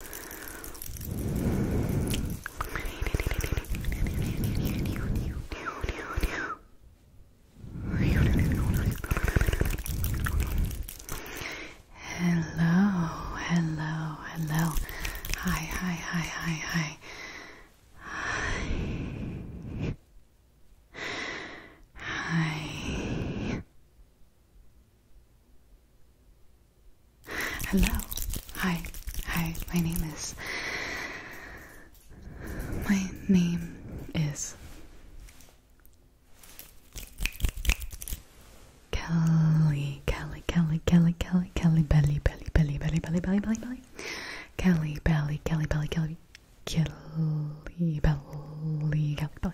Hello, hello, hello. Hi, hi, hi, hi, hi. Hi. Hi. Hello. Hi. Hi. My name is. My name is. Kelly, Kelly, Kelly, Kelly, Kelly, Kelly, Belly, Belly, Belly, Belly, Belly, Belly, Belly, Belly, Kelly, Belly, Kelly, Belly, Kelly, Belly,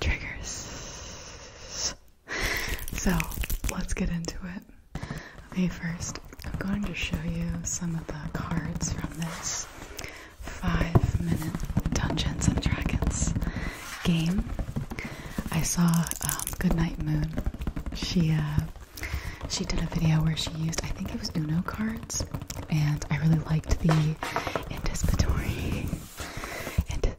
triggers. So let's get into it. Okay, first, I'm going to show you some of the cards from this five minute Dungeons and Dragons game. I saw um, Goodnight Moon. She uh, she did a video where she used, I think it was Uno cards, and I really liked the anticipatory. and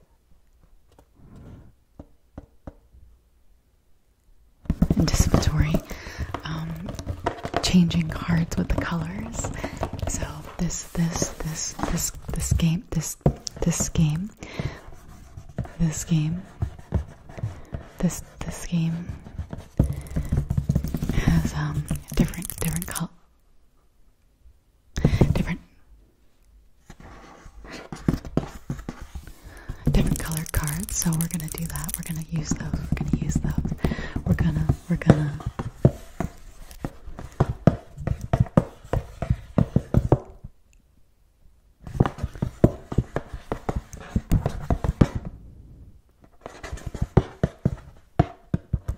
anticipatory um, changing cards with the colors so this this this this this game this this game this game this this game has um different different color different different colored cards so we're gonna do that we're gonna use those we're gonna use those we're gonna we're gonna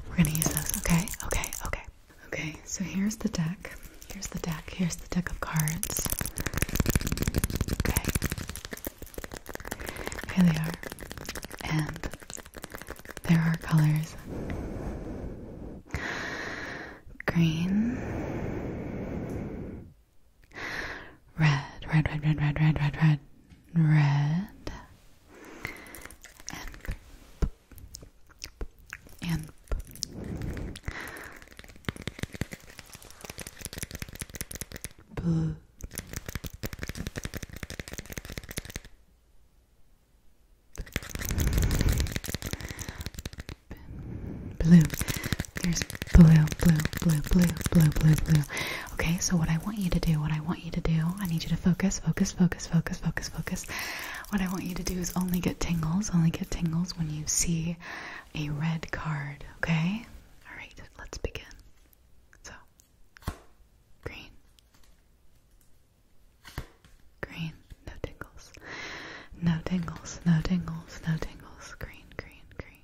we're gonna use those, okay? Okay, okay. Okay, so here's the deck. Here's the deck. Here's the deck of cards. Okay. Here they are. And there are colors green, Red, red, red, red, red, red, red, red, red. And, and blue. Blue. There's blue, blue, blue, blue, blue, blue, blue. Okay, so what I want you to do, what I want you to do, I need you to focus, focus, focus, focus, focus, focus. What I want you to do is only get tingles, only get tingles when you see a red card, okay? Alright, let's begin. So, green, green, no tingles, no tingles, no tingles, no tingles, green, green, green,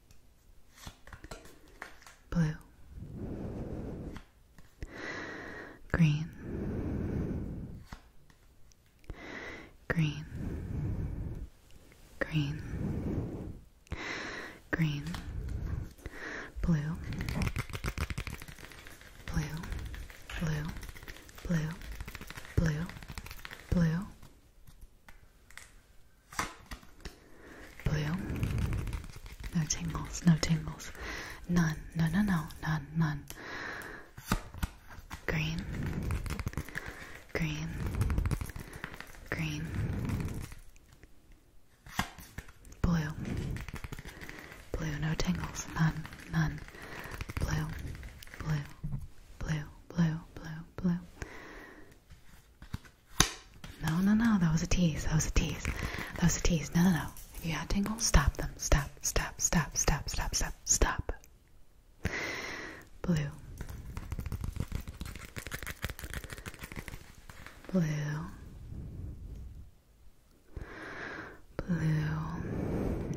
blue, green, green, green, green, blue, blue, blue, blue, blue, blue. Blue. No tingles, no tingles. None, no, no, no, none, none. Green. Green. Green. Blue. Blue, no tingles, none, none. Blue, blue, blue, blue, blue, blue. No, no, no. That was a tease. That was a tease. That was a tease. No, no, no. If you have tingle, stop them. Stop, stop, stop, stop, stop, stop, stop. Blue. Blue. Blue.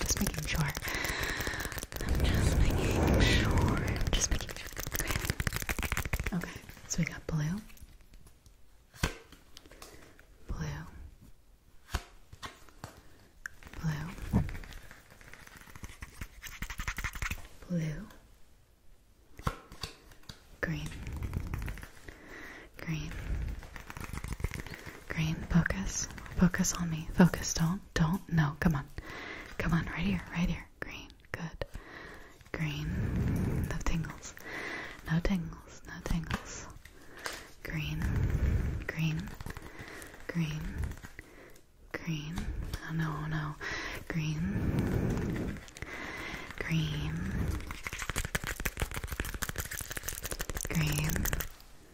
Just making sure. I'm just making sure. Just making sure. Okay. Okay. So we got blue. Blue. Blue. Blue. Green. Green. Green, focus. Focus on me. Focus. Don't. Don't. No. Come on. Come on. Right here. Right here. Green. Good. Green. No tingles. No tingles. No tingles. Green. Green. Green. Green. Oh, no, oh, no. Green. Green. Green.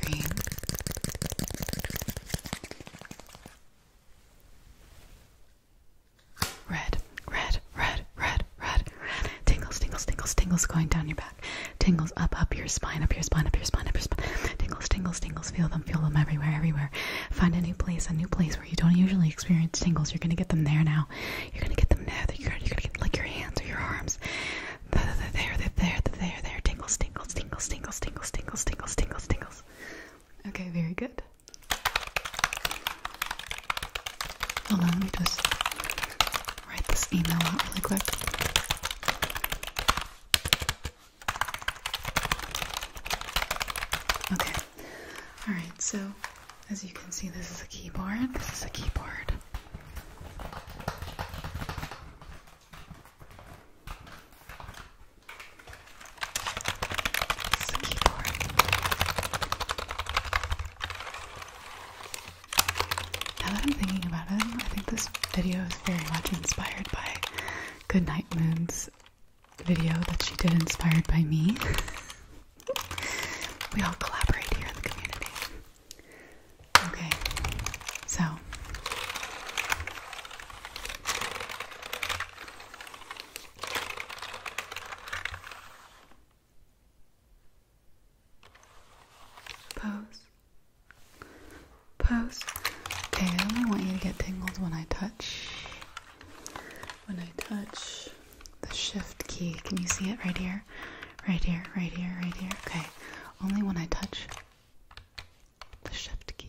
green. Red, red, red, red, red, red. Tingles, tingles, tingles, tingles going down your back. Tingles up, up your spine, up your spine, up your spine, up your spine. Tingles, tingles, tingles. Feel them, feel them everywhere, everywhere. Find a new place, a new place you don't usually experience tingles. You're gonna get them there now. You're gonna get them there. You're, you're gonna get like your hands or your arms. There, there, there, there, there, there. Tingles, tingles, tingles, tingles, tingles, tingles, tingles, tingles, tingles. Okay, very good. Hold on, let me just write this email out really quick. Okay. Alright, so as you can see, this is a keyboard. This is a keyboard. Now that I'm thinking about it, I think this video is very much inspired by Goodnight Moon's video that she did inspired by me. we all collaborate here in the community. Okay, so pose, pose. Okay, I only want you to get tingles when I touch when I touch the shift key, can you see it right here? Right here, right here, right here. Okay. Only when I touch the shift key.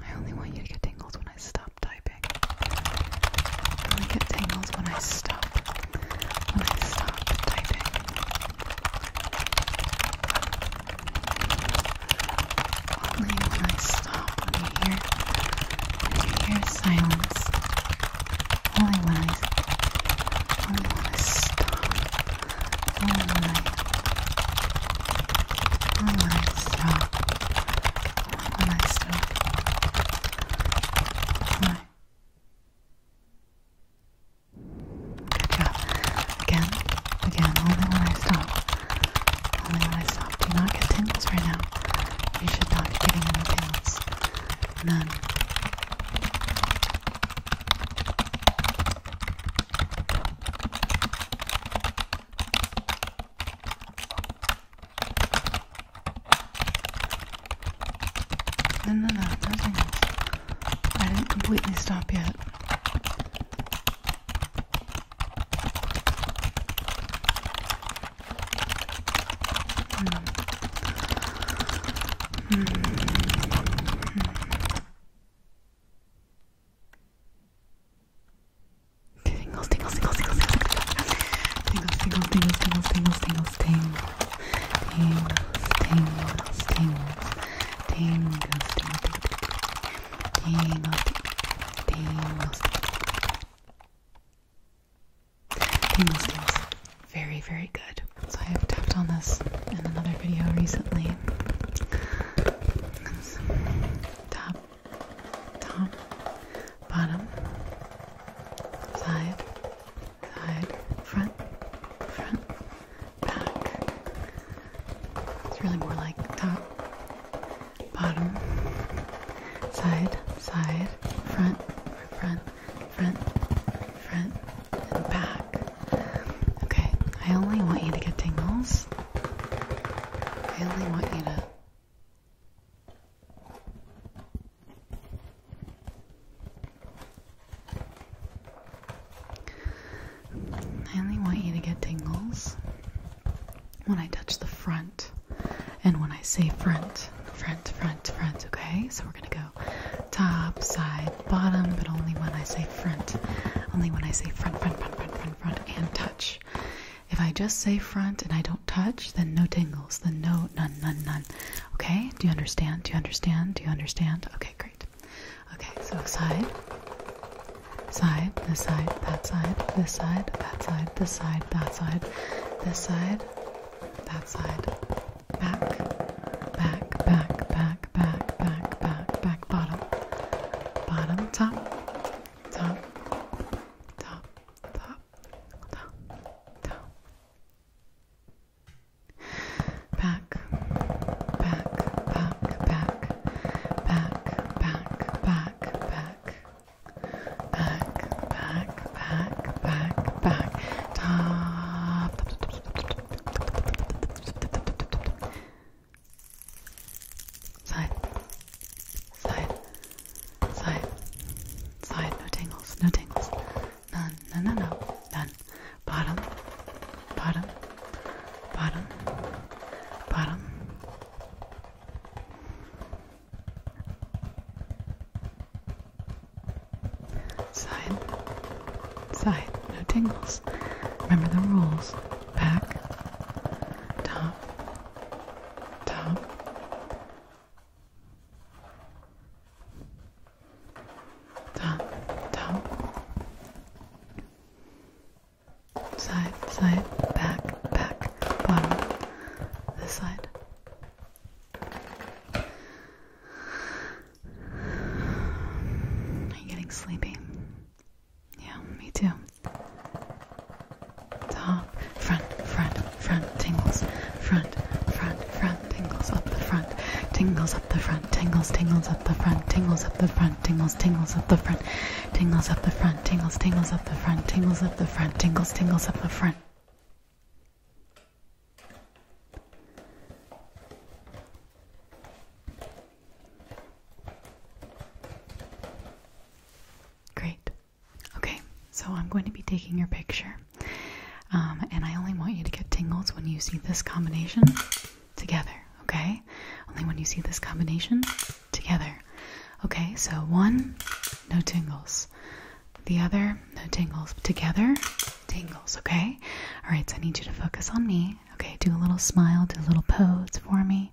I only want you to get tingles when I stop typing. I only get tingles when I stop. When I stop typing. Only when I stop. When you hear, when you hear silence. Only when I. Only when I stop. Only when I. When I stop. Have a nice sleep. Bye. Good job. Again, again, only when I stop. Only when I stop. Do not get tingles right now. You should not be getting any tingles. None. No, no, no, nothing I didn't completely stop yet. Mm. Mm. Mm. Tingles, tingles, tingles, tingles, tingles, tingles, tingles, tingles, tingles, tingles, tingles, tingles, tingles, tingles, tingles, Very, very good. So I have tapped on this in another video recently. Tap, top, bottom, side, side, front, front, back. It's really more like top, bottom, side, side, front, front, front, front, back. Okay, I only want you to get tingles. I only want you to I only want you to get tingles when I touch the front and when I say front, front, front, front, okay? So we're gonna go top, side, bottom, but only when I say front. Only when I say front, front, front, front, front, front, and touch. If I just say front and I don't touch, then no tingles, then no, none, none, none. Okay, do you understand? Do you understand? Do you understand? Okay, great. Okay, so side, side, this side, that side, this side, that side, this side, that side, this side, that side, back, back, back, back, back, back, back, back, bottom, bottom, top, top, top, top, top, top. Back, back, back, back, back, back, back, back. Back, back, back, back, back. Top. Top. Side, side, side, side. No tingles, no tingles. None, no, no, no, none. Bottom, bottom, bottom, bottom. Side, side. No tingles. Remember the rules back, top, top, top, top, side, side, back, back, bottom, this side. Are you getting sleepy? Yeah, me too. Top, front, front, front, tingles, front, front, front, tingles up the front, tingles up the front, tingles, tingles up the front, tingles up the front, tingles, tingles up the front, tingles up the front, tingles, tingles up the front, tingles up the front, tingles, tingles up the front. Great. Okay, so I'm going to be taking your picture. Um, and I only want you to get tingles when you see this combination together, okay? Only when you see this combination together. Okay, so one, no tingles. The other, no tingles. Together, tingles, okay? Alright, so I need you to focus on me. Okay, do a little smile, do a little pose for me.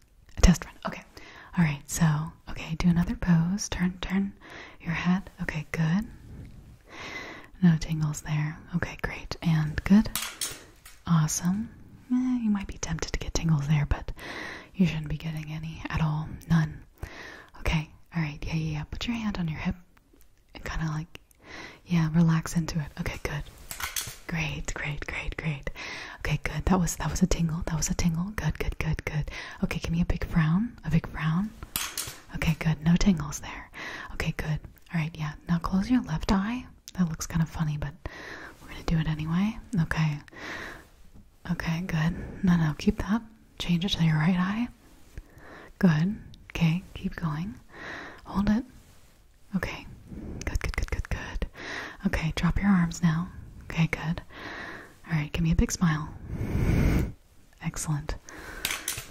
A test run. Okay. All right. So, okay, do another pose. Turn turn your head. Okay, good. No tingles there. Okay, great. And good. Awesome. Eh, you might be tempted to get tingles there, but you shouldn't be getting any at all. None. Okay. All right. Yeah, yeah, yeah. Put your hand on your hip and kind of like yeah, relax into it. Okay, good. Great, great, great, great. Okay, good. That was that was a tingle. That was a tingle. Good, good, good, good. Okay, give me a big frown. A big frown. Okay, good. No tingles there. Okay, good. All right, yeah. Now close your left eye. That looks kind of funny, but we're gonna do it anyway. Okay. Okay, good. No, no, keep that. Change it to your right eye. Good. Okay, keep going. Hold it. Okay. Good, good, good, good, good. Okay, drop your arms now. Okay, good. All right, give me a big smile. Excellent.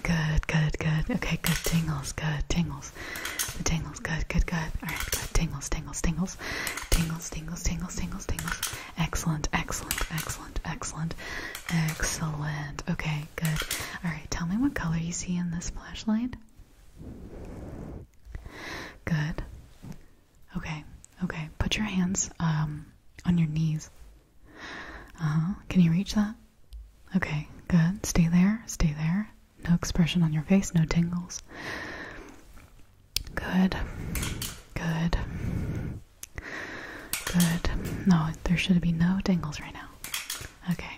Good, good, good. Okay, good tingles, good tingles. The tingles, good, good, good. All right, good tingles, tingles, tingles. Tingles, tingles, tingles, tingles, tingles. Excellent, excellent, excellent, excellent, excellent. Okay, good. All right, tell me what color you see in this flashlight. Good. Okay. Okay. Put your hands um on your knees. Uh-huh. Can you reach that? Okay. Good. Stay there. Stay there. No expression on your face, no tingles. Good. Good. Good. No, there should be no tingles right now. Okay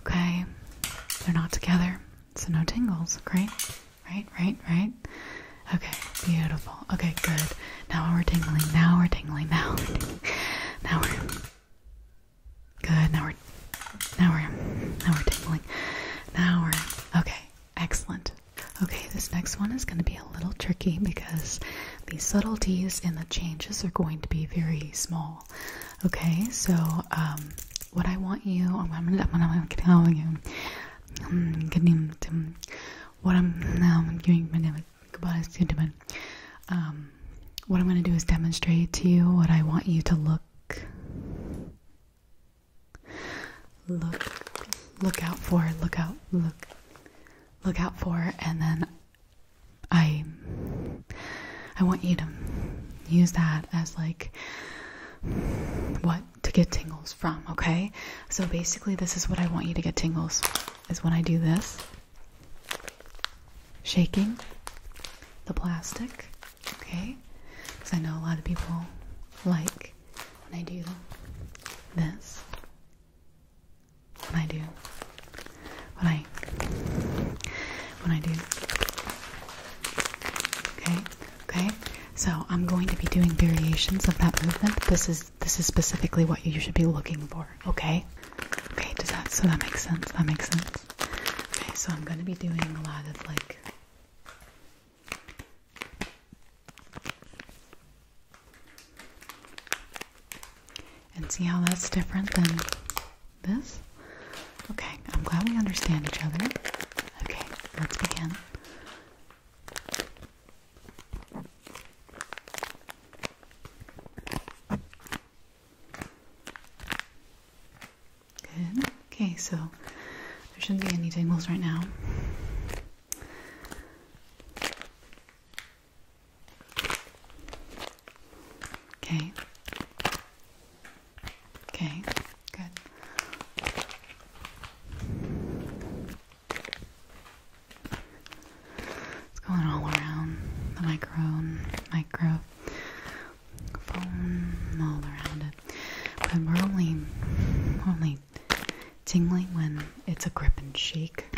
Okay? They're not together, so no tingles. Great. Right, right, right. Okay, beautiful. Okay, good. Now we're tingling. Now we're tingling. Now we're Now we're good. Now we're now we're now we're tingling. Now we're okay. Excellent. Okay, this next one is going to be a little tricky because the subtleties and the changes are going to be very small. Okay, so um, what I want you, oh, I'm gonna, I'm gonna you. Um, um, what I'm now I'm giving my goodbye what I'm gonna do is demonstrate to you what I want you to look. Look, look out for, look out, look, look out for, and then I I want you to use that as like what to get tingles from, okay? So basically this is what I want you to get tingles is when I do this. Shaking the plastic, okay? Cuz I know a lot of people like when I do this. When I do, when I, when I do. Okay, okay. So I'm going to be doing variations of that movement. This is this is specifically what you should be looking for. Okay, okay. Does that so that makes sense? That makes sense. Okay, so I'm going to be doing a lot of like. And see how that's different than this? Okay, I'm glad we understand each other. Okay, let's begin. Good. Okay, so there shouldn't be any tingles right now. Okay. Okay, good. It's going all around the microphone, microphone, all around it. But we're only, only tingling when it's a grip and shake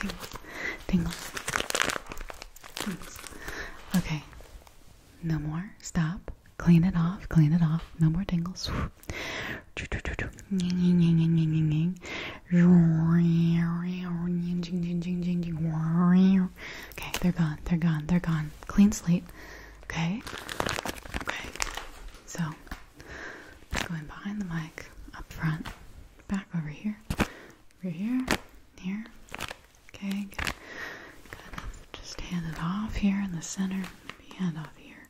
Tingles. Tingles. Tingles. Okay. No more. Stop. Clean it off. Clean it off. No more tingles. Okay, they're gone. They're gone. They're gone. Clean slate. Okay. Okay. So, going behind the mic, up front, back over here, over here, here. Okay, good. Just hand it off here in the center. Hand off here.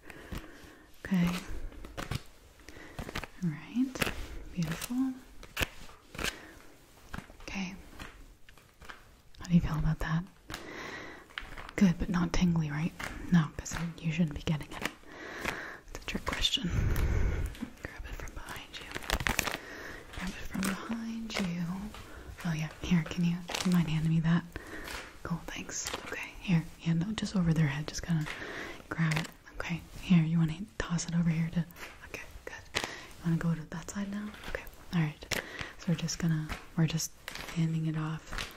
Okay. All right. Beautiful. Okay. How do you feel about that? Good, but not tingly, right? No, because you shouldn't be getting any. That's a trick question. Grab it from behind you. Grab it from behind you. Oh yeah, here, can you, do mind handing me that? Cool, thanks. Okay, here. Yeah, no, just over their head. Just kind of grab it. Okay, here, you want to toss it over here to, okay, good. You want to go to that side now? Okay, all right. So we're just gonna, we're just handing it off,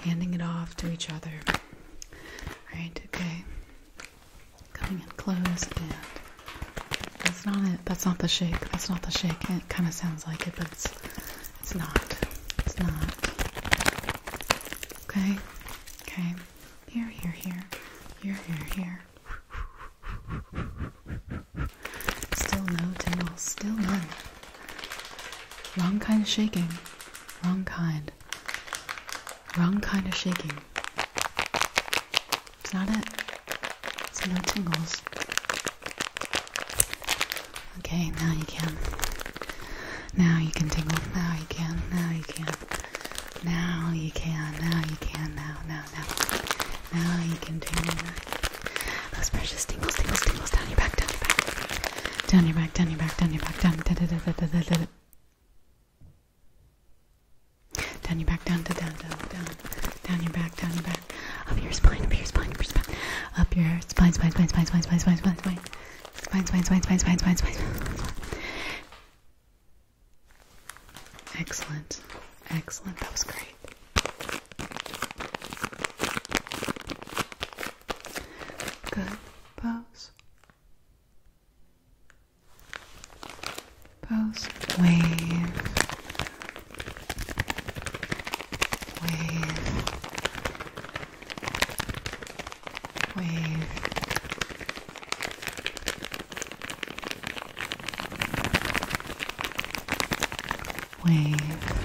handing it off to each other. All right, okay coming in close and that's not it that's not the shake that's not the shake it kind of sounds like it but it's it's not it's not okay okay here here here here here here still no tingle still none wrong kind of shaking wrong kind hand. Wrong kind of shaking. It's not it. It's no tingles. Okay, now you can. Now you can tingle. Now you can. Now you can. Now you can. Now you can. Now, now, now. Now you can tingle. Those precious tingles, tingles, tingles down your back, down your back, down your back, down your back, down your back, down. Da, da, da, da, da, da, da. Down your back, down, down, down, down, down your back, down your back, up your spine, up your spine, up your spine, up your spine, spine, spine, spine, spine, spine, spine, spine, spine, spine, spine, spine, spine, spine, spine, spine. Excellent, excellent. That was great. Good pose. Post wave, wave, wave. Wave,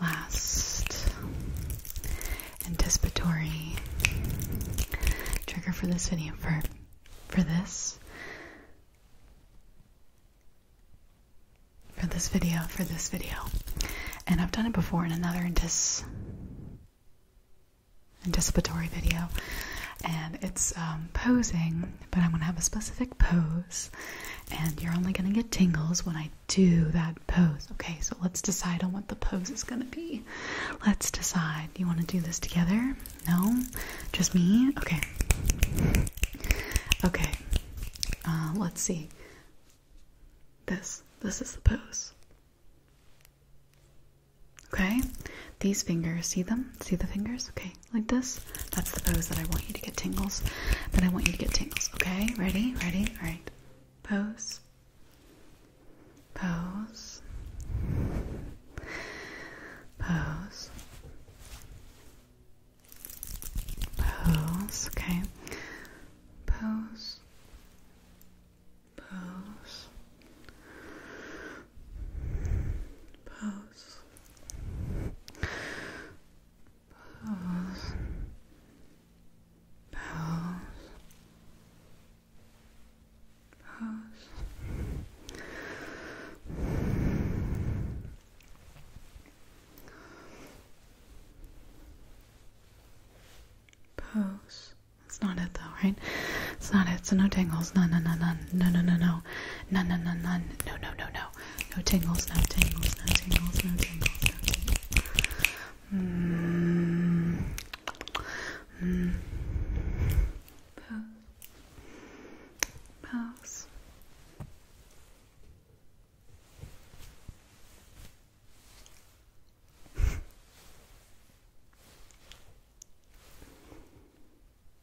Last anticipatory trigger for this video for for this for this video for this video and I've done it before in another anticipatory video and it's um, posing but I'm gonna have a specific pose and you're only going to get tingles when I do that pose. Okay, so let's decide on what the pose is going to be. Let's decide. You want to do this together? No? Just me? Okay. Okay. Uh, let's see. This. This is the pose. Okay? These fingers. See them? See the fingers? Okay like this. That's the pose that I want you to get tingles. Then I want you to get tingles. Okay, ready? Ready? All right. Pose. Pose. Pose. Pose. Okay. Pose. Pose. Pose. Bells. Bells. Bells. Pose. That's not it though, right? It's not it. So no tingles. No, no, no, no, no, no, no, no, no, no, no, no, no, no, no, no, no no tingles, no tingles, no tingles, no tingles, no tingles. Mm. Mm. Pause.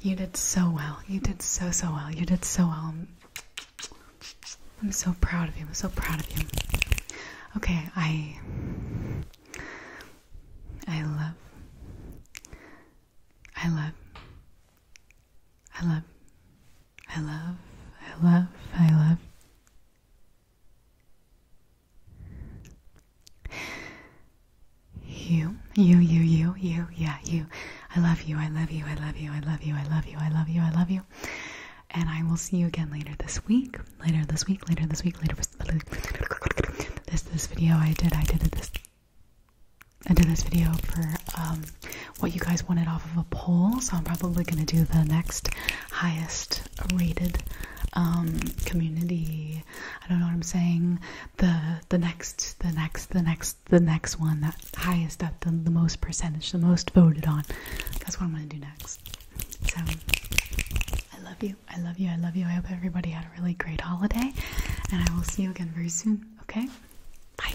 You did so well. You did so, so well. You did so well. I'm so proud of you. I'm so proud of you. Okay, I. I love. I love. I love. I love. I love. I love. You, you, you, you, you, yeah, you. I love you, I love you, I love you, I love you, I love you, I love you, I love you. And I will see you again later this week. Later this week, later this week, later this this video I did, I did this I did this video for um, what you guys wanted off of a poll, so I'm probably gonna do the next highest rated um, community I don't know what I'm saying the the next the next the next the next one that highest up the most percentage the most voted on that's what I'm gonna do next so I love you I love you I love you I hope everybody had a really great holiday and I will see you again very soon okay bye